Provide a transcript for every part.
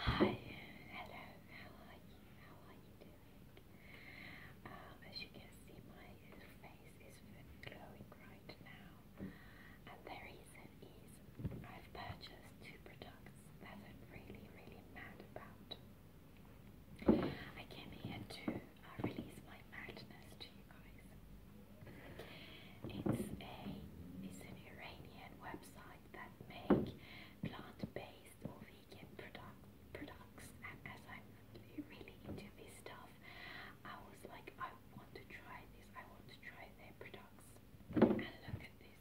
Hi, hello, how are you? How are you doing? Um, as you can see, my face is glowing right now, and the reason is I've purchased two products that I'm really, really mad about. I came here to uh, release my madness to you guys. It's a it's an Iranian website that make plant-based or vegan product, products and as I'm really into this stuff I was like I want to try this, I want to try their products and look at this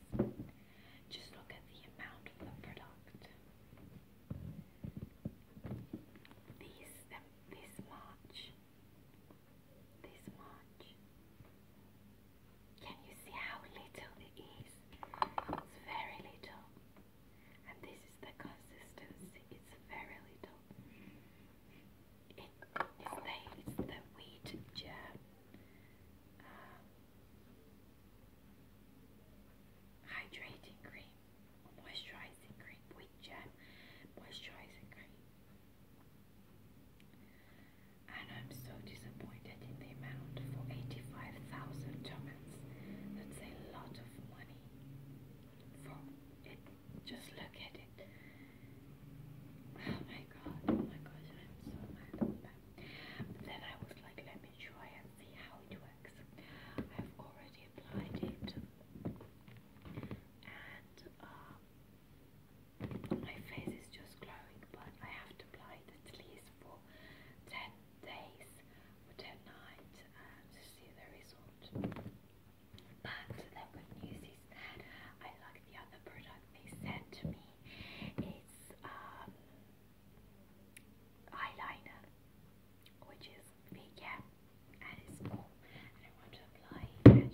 just look at the amount of the product this, this much this much can you see how little it is? It's very little. And this is the consistency. It's very little. it's, the, wheat jam uh, hydrating cream. Moisturizing cream. Wheat germ. Moisturizing cream. And I'm so disappointed in the amount for 85,000 Germans. That's a lot of money. For it, just look at it. Oh my god, oh my gosh, I'm so mad about Then I was like, let me try and see how it works. I've already applied it. And, uh, my face is just glowing, but I have to apply it at least for 10 days or 10 nights uh, to see the result. But the good news is that I like the other product they sent to me. It's um, eyeliner, which is vegan and it's small, and I want to apply it at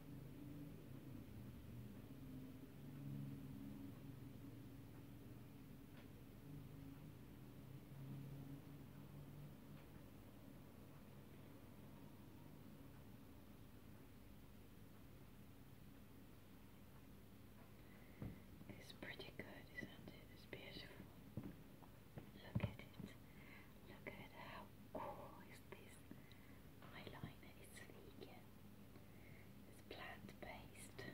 It's pretty good, It's beautiful. Look at it. Look at how cool it is is this eyeliner. It's vegan. It's plant based.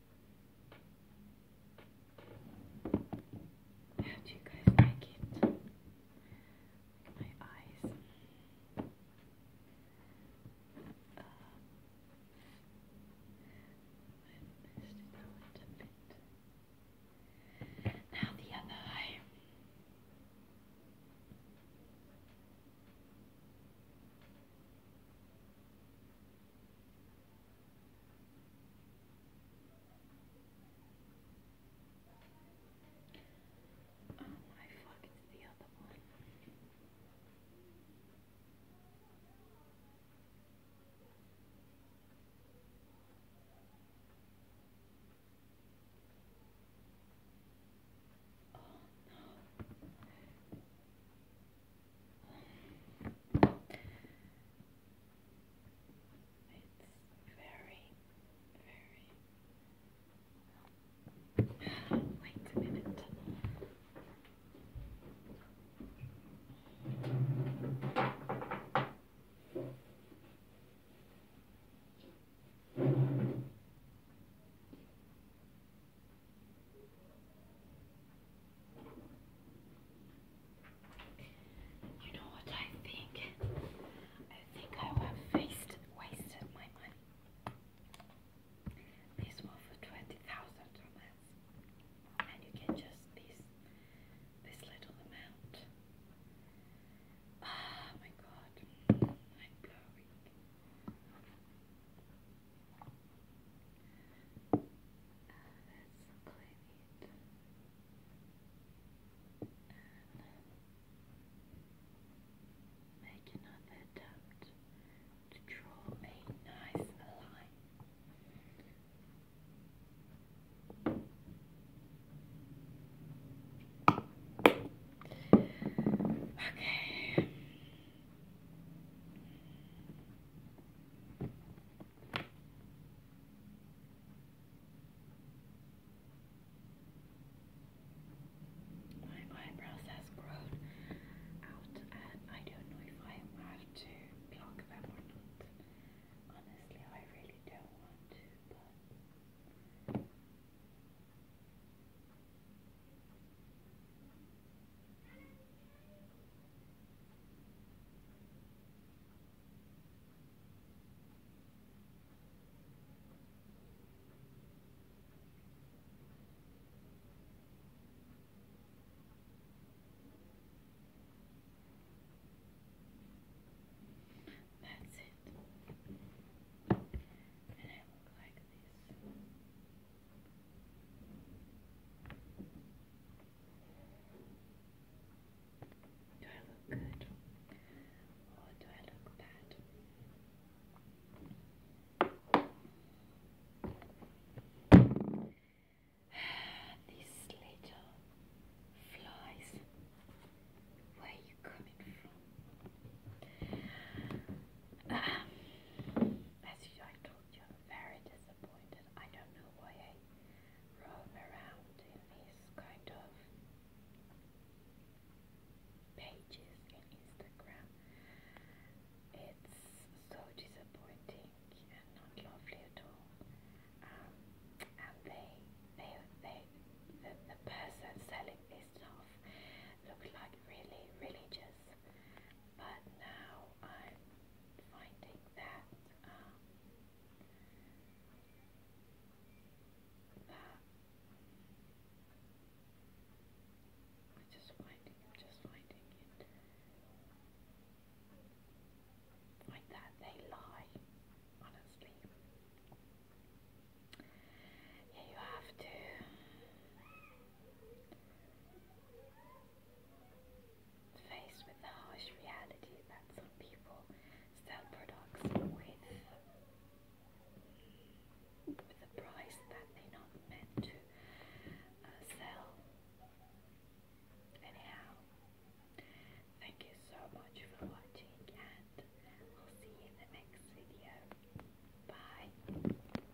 How do you guys like it? my eyes. Uh, I missed it a bit. Now the other eye. Oh my fuck, it's the other one. Oh no. It's very, very. Wait a minute. You know what I think? I think I have wasted, wasted my money. This one for 20,000 dollars, And you get just this, this little amount. oh my god. I'm mm, blowing. Uh, that's And make another attempt to draw a nice line. Okay. My eyebrows has grown out and I don't know if I have to pluck them or not. Honestly, I really don't want to, but that's it. And I look like this. Do I look good or do I look bad? These little flies, where are you coming from? Um, as usual, told you I'm very disappointed. I don't know why I roam around in these kind of pages in Instagram. It's so disappointing and not lovely at all. Um, and they, they, they, the, the person selling this stuff looked like really religious, but now I'm finding that I'm um, just finding, I'm just finding it like that they lie, honestly. Yeah, you have to Faced with the harsh reality that some people sell products with, with price that they're not meant to uh, sell, anyhow, thank you so much for watching, and we will see you in the next video. Bye.